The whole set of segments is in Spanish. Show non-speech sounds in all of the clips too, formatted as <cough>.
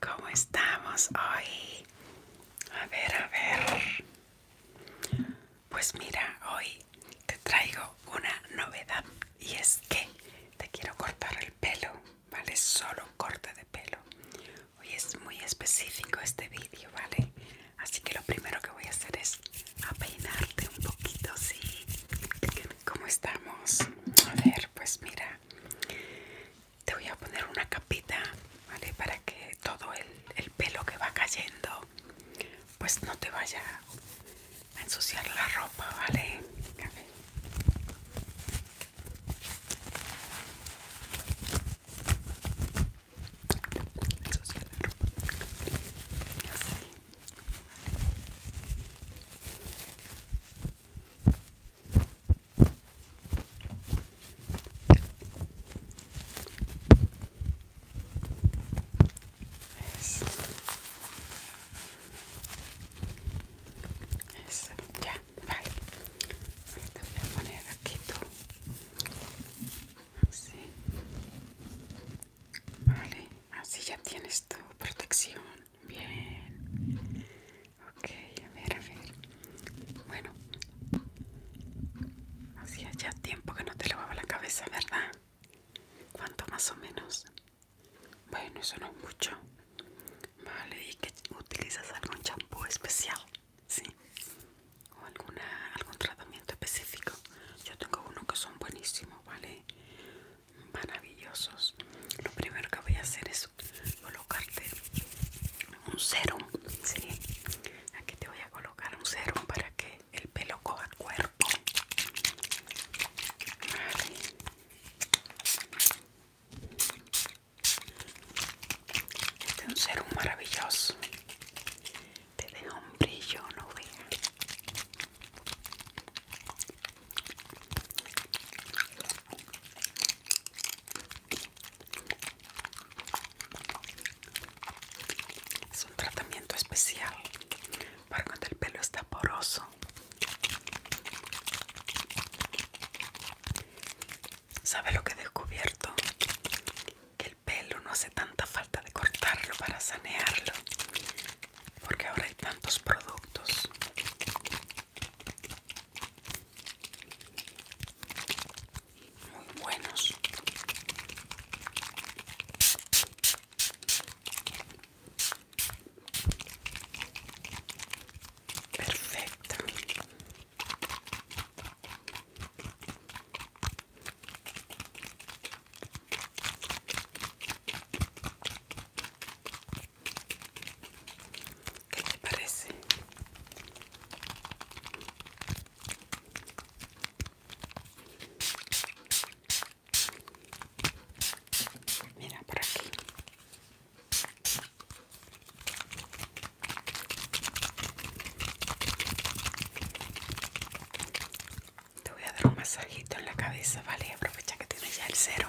¿Cómo estamos hoy? A ver, a ver. Pues mira, hoy te traigo una novedad y es que te quiero cortar el pelo, ¿vale? Solo corte de pelo. Hoy es muy específico este vídeo, ¿vale? Así que lo primero que voy a hacer es apeinarte un poquito, ¿sí? ¿Cómo estamos? A ver, pues mira, te voy a poner una capita, ¿vale? Para que todo el, pelo que va cayendo, pues no te vaya a ensuciar la ropa, ¿vale? la ropa. Eso. ya, vale. Te voy a poner aquí todo. Así. Vale, así ya tienes tu protección bien. Ok, a ver, a ver. Bueno, hacía ya tiempo que no te lavaba la cabeza, ¿verdad? ¿Cuánto más o menos? Bueno, eso no es mucho. Vale, ¿y que utilizas algún champú especial? Sí. ¿O alguna, algún tratamiento específico? Yo tengo uno que son buenísimos, ¿vale? Maravillosos. Lo primero que voy a hacer es colocarte un serum, ¿sí? Aquí te voy a colocar un serum para que el pelo coja cuerpo. Este es un serum maravilloso. Te deja un brillo, no es un tratamiento especial para cuando el pelo está poroso. ¿Sabe lo que he descubierto? Que el pelo no hace tanta falta de cortarlo para sanearlo. Porque ahora hay tantos productos muy buenos perfecto ¿Qué te parece? Mira por aquí. Te voy a dar un masajito en la cabeza, ¿vale? Aprovecha que tienes ya el cero.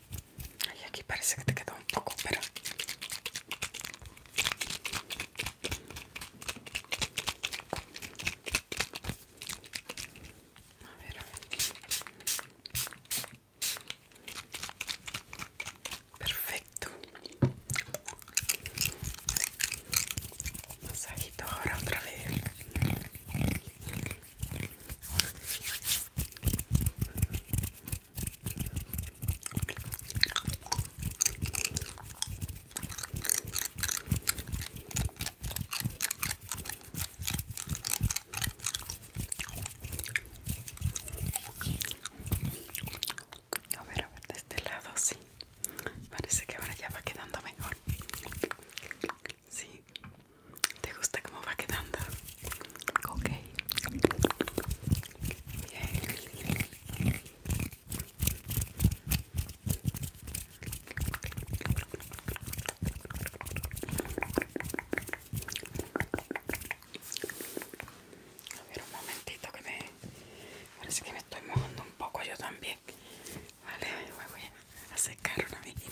aquí parece que te quedó un poco, pero... A ver. Perfecto. Masajito ahora otra vez. A ver, de este lado sí. Parece que ahora ya va quedando mejor. Sí. ¿Te gusta cómo va quedando? Ok. Bien. A ver un momentito que me parece que me estoy mojando un poco yo también. Vale, me voy a secar una vez.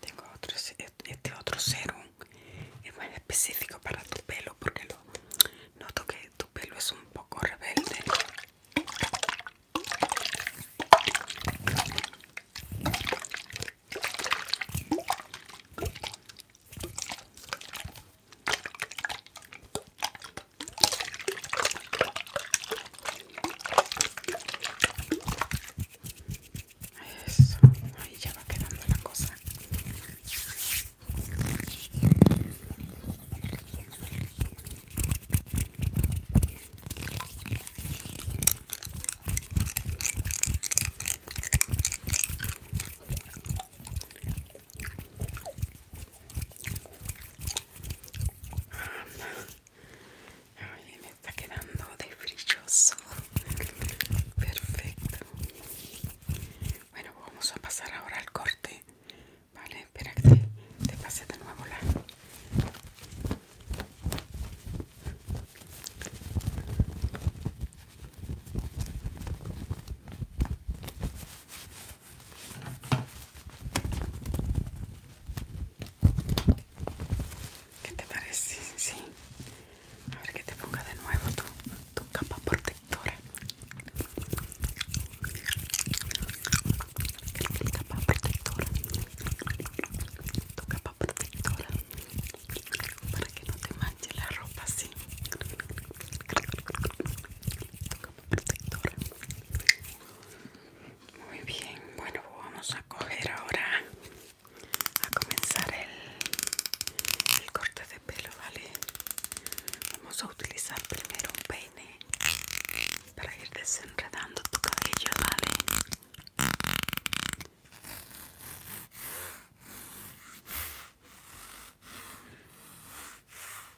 Tengo otro, este otro serum es más específico para tu pelo porque noto que tu pelo es un poco rebelde. Eso, ahí ya va quedando la cosa. Ay, me está quedando de brilloso. Perfecto. Bueno, vamos a pasar ahora al corte. Vale, espera que te, te pase de nuevo la. ¿Qué te parece? Sí. A ver que te ponga de nuevo tu, capa protectora. Tu capa protectora. Tu capa protectora. Para que no te manche la ropa así. Muy bien, bueno, vamos a coger ahora a comenzar el, el corte de pelo, ¿vale? Vamos a utilizar primero un peine para ir desenredando tu cabello, ¿vale?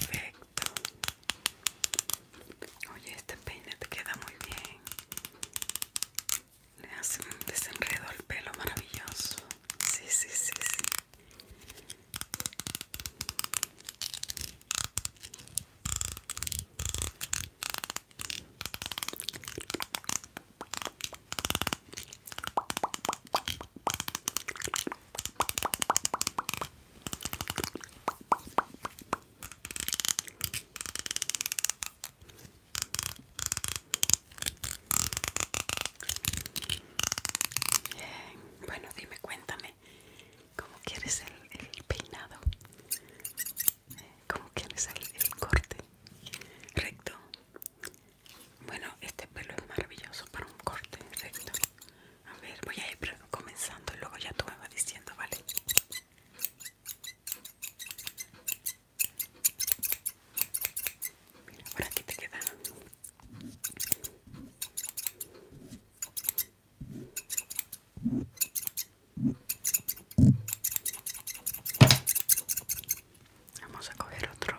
Perfecto. Oye, este peine te queda muy bien. Le hace un desenredo al pelo maravilloso. Sí, sí, sí, sí. Bien. Bueno, dime, cuéntame, ¿cómo quieres el, el peinado? como que me sale el corte recto bueno este pelo es maravilloso para un corte recto a ver voy a ir comenzando y luego ya tú me vas diciendo vale Mira, por aquí te queda Vamos a coger otro.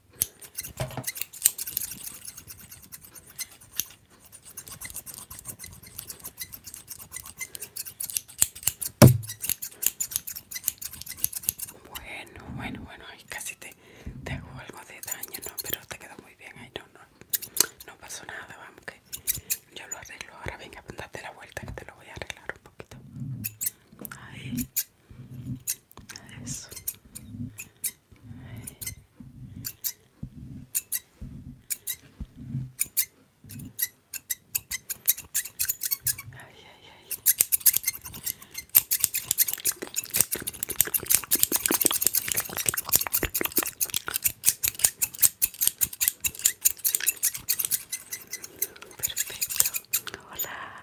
Bueno, bueno, bueno, ahí casi te, hago algo de daño, ¿no? Pero te quedó muy bien ahí, no, no, no pasó nada, vamos, que yo lo arreglo ahora, venga, date la vuelta que te lo voy a arreglar un poquito. Ahí. Eso. Perfecto. Hola.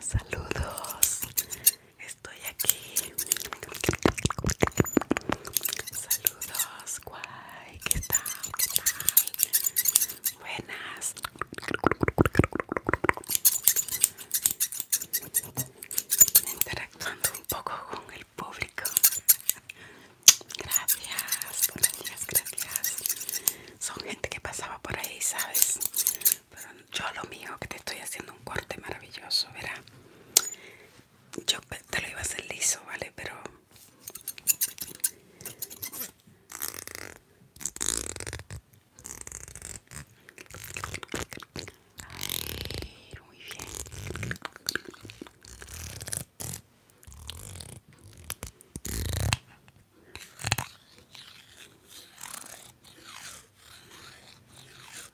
Saludos, estoy aquí saludos, guay, ¿qué tal? tal? Buenas. Interactuando un poco con el público. Gracias, gracias, gracias. Son gente que pasaba por ahí, ¿sabes? Pero yo lo mío que te estoy haciendo un corte maravilloso, verá yo te lo iba a hacer liso, ¿vale? Pero... muy bien.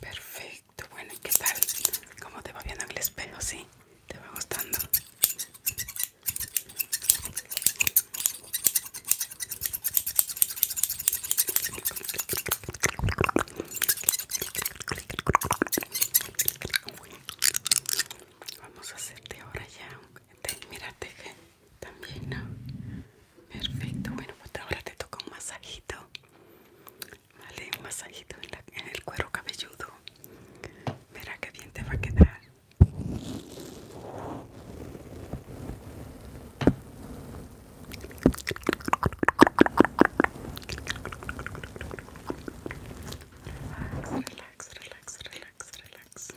Perfecto, bueno, ¿qué tal? ¿Cómo te va viendo el espejo? ¿Sí? ¿Te va gustando? Vamos a hacerte ahora ya mira, teje también, ¿no? Perfecto, bueno, pues ahora te toca un masajito, ¿vale? Un masajito en, el cuero cabelludo. Mira qué bien te va a quedar. Relax, relax, relax, relax, relax.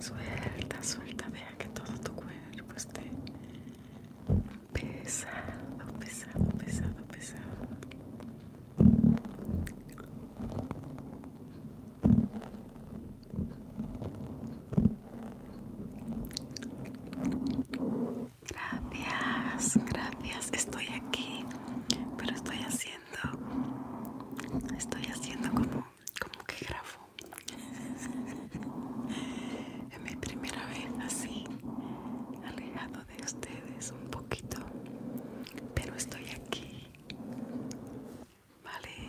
Suelta, suelta, vea que todo tu cuerpo esté pesado, pesado, pesado, pesado. Gracias, gracias. Estoy aquí, pero estoy haciendo, estoy haciendo como, como que grafo <laughs> Es mi primera vez así, alejado de ustedes un poquito, pero estoy aquí. Vale.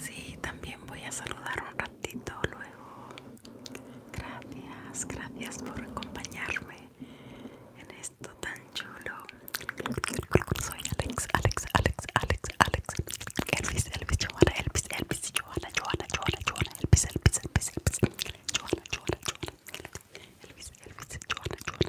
Sí, también voy a saludar un ratito luego. Gracias, gracias por acompañarme en esto tan chulo. Soy Alex, Alex, Alex, Alex, Alex. Elvis, Elvis, Joana, Elvis, Elvis, Joana, Joana, Joana, Joana, Elvis, Elvis, Elvis, Elvis, Johanna, Joana, Elvis, Elvis, Joana, Joana.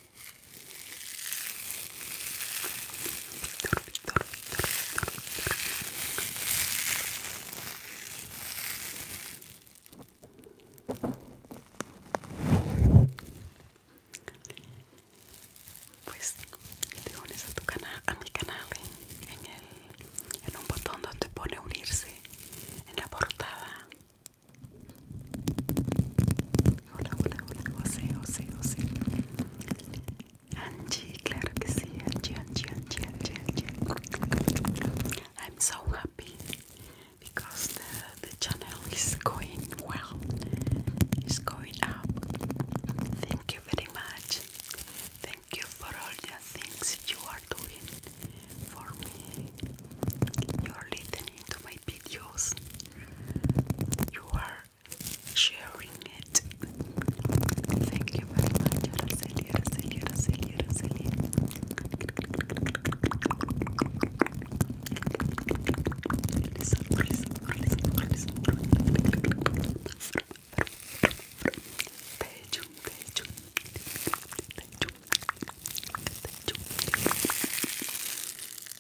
Pues te unes a tu canal, a mi canal en, el, en un botón donde pone unirse en la portada Hola, hola, hola, José, José, José. Angie, claro que sí, Angie, Angie, Angie, Angie. I'm so happy because the, the channel is going well, it's going up. Thank you very much. Thank you for all the things you are doing for me. You're listening to my videos you are sharing it. Thank you very much, Araceli, Araceli, Araceli, Araceli. Listen, listen, listen, listen. Pejum, pejum, pejum, pejum.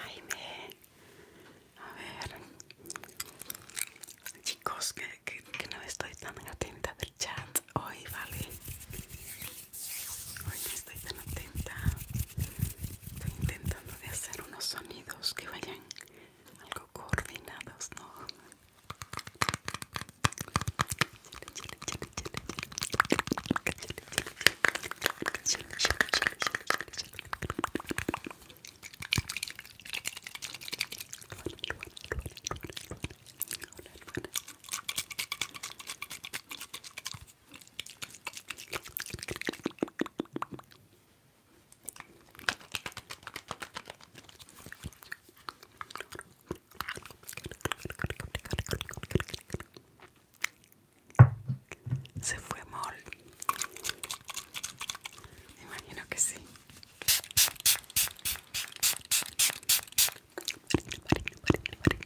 Jaime, a ver, chicos, que, que, que no estoy tan atenta del chat hoy, ¿vale? Hoy estoy tan atenta. Estoy intentando de hacer unos sonidos que vayan algo coordinados, ¿no? Se fue mal. Imagino que sí.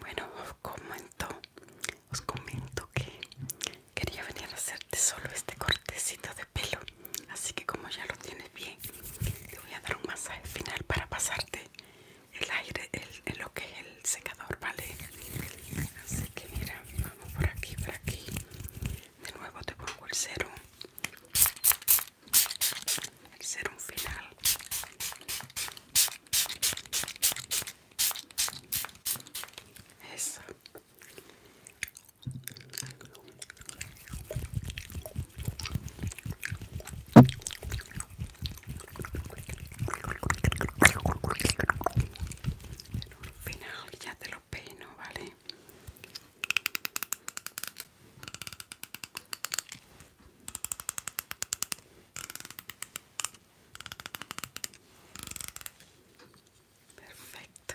Bueno, os comento, os comento que quería venir a hacerte solo este cortecito de pelo, así que como ya lo tienes bien, te voy a dar un masaje final para pasarte el aire el, lo que es el secador vale así que mira vamos por aquí por aquí de nuevo te pongo el serum. el serum final eso un penal, ya te lo peino, ¿vale? Perfecto.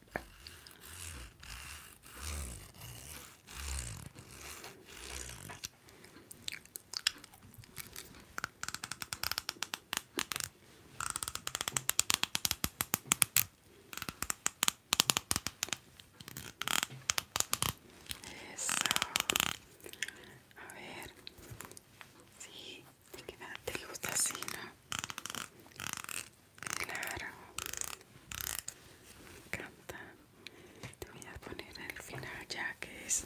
Eso. A ver. Sí que nada, te gusta así, ¿no? Claro. Me encanta. Te voy a poner al final ya que es...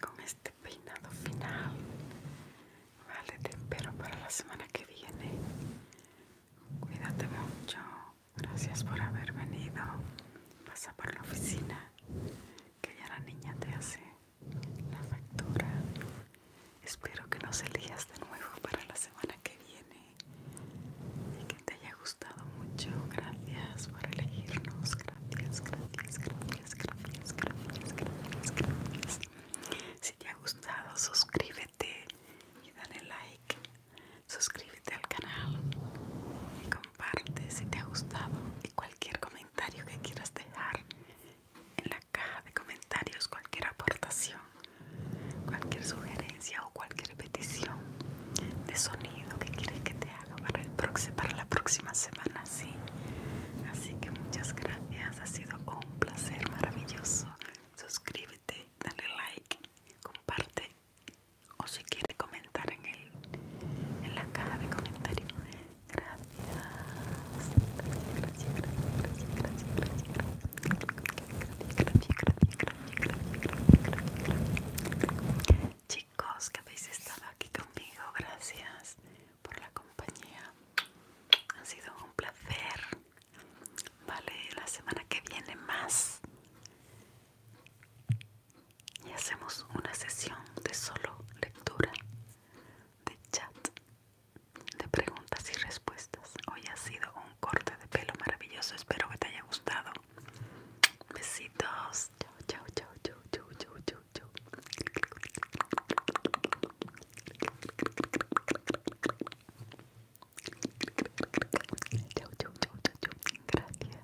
con este peinado final, vale, te espero para la semana que viene. Cuídate mucho. Gracias por haber venido. Pasa por la oficina, que ya la niña te hace la factura. Espero que nos elijas de nuevo para la semana que viene y que te haya gustado mucho. Gracias por elegirnos. Gracias, gracias, gracias, gracias, gracias, gracias, Si te ha gustado, suscríbete y dale like. Suscríbete al canal y comparte si te ha gustado y cualquier comentario que quieras dejar en la caja de comentarios cualquier aportación, cualquier sugerencia o cualquier petición de sonido que quieres que te haga para, para la próxima semana. ¿sí? Así que muchas gracias, ha sido un placer maravilloso. Suscríbete, dale like, comparte o si quieres comentar en, el, en la caja de comentarios gracias. Chicos, que habéis estado aquí conmigo, gracias por la compañía. Ha sido un placer. Vale, la semana que viene más. Y hacemos una sesión de solo lectura de chat de preguntas y respuestas. Hoy ha sido un corte de pelo maravilloso. Espero que te haya gustado. Besitos. Chau, chau, chau, chau, chau, chau, chau, chau. Chau, chau, chau, chau, chau. Gracias.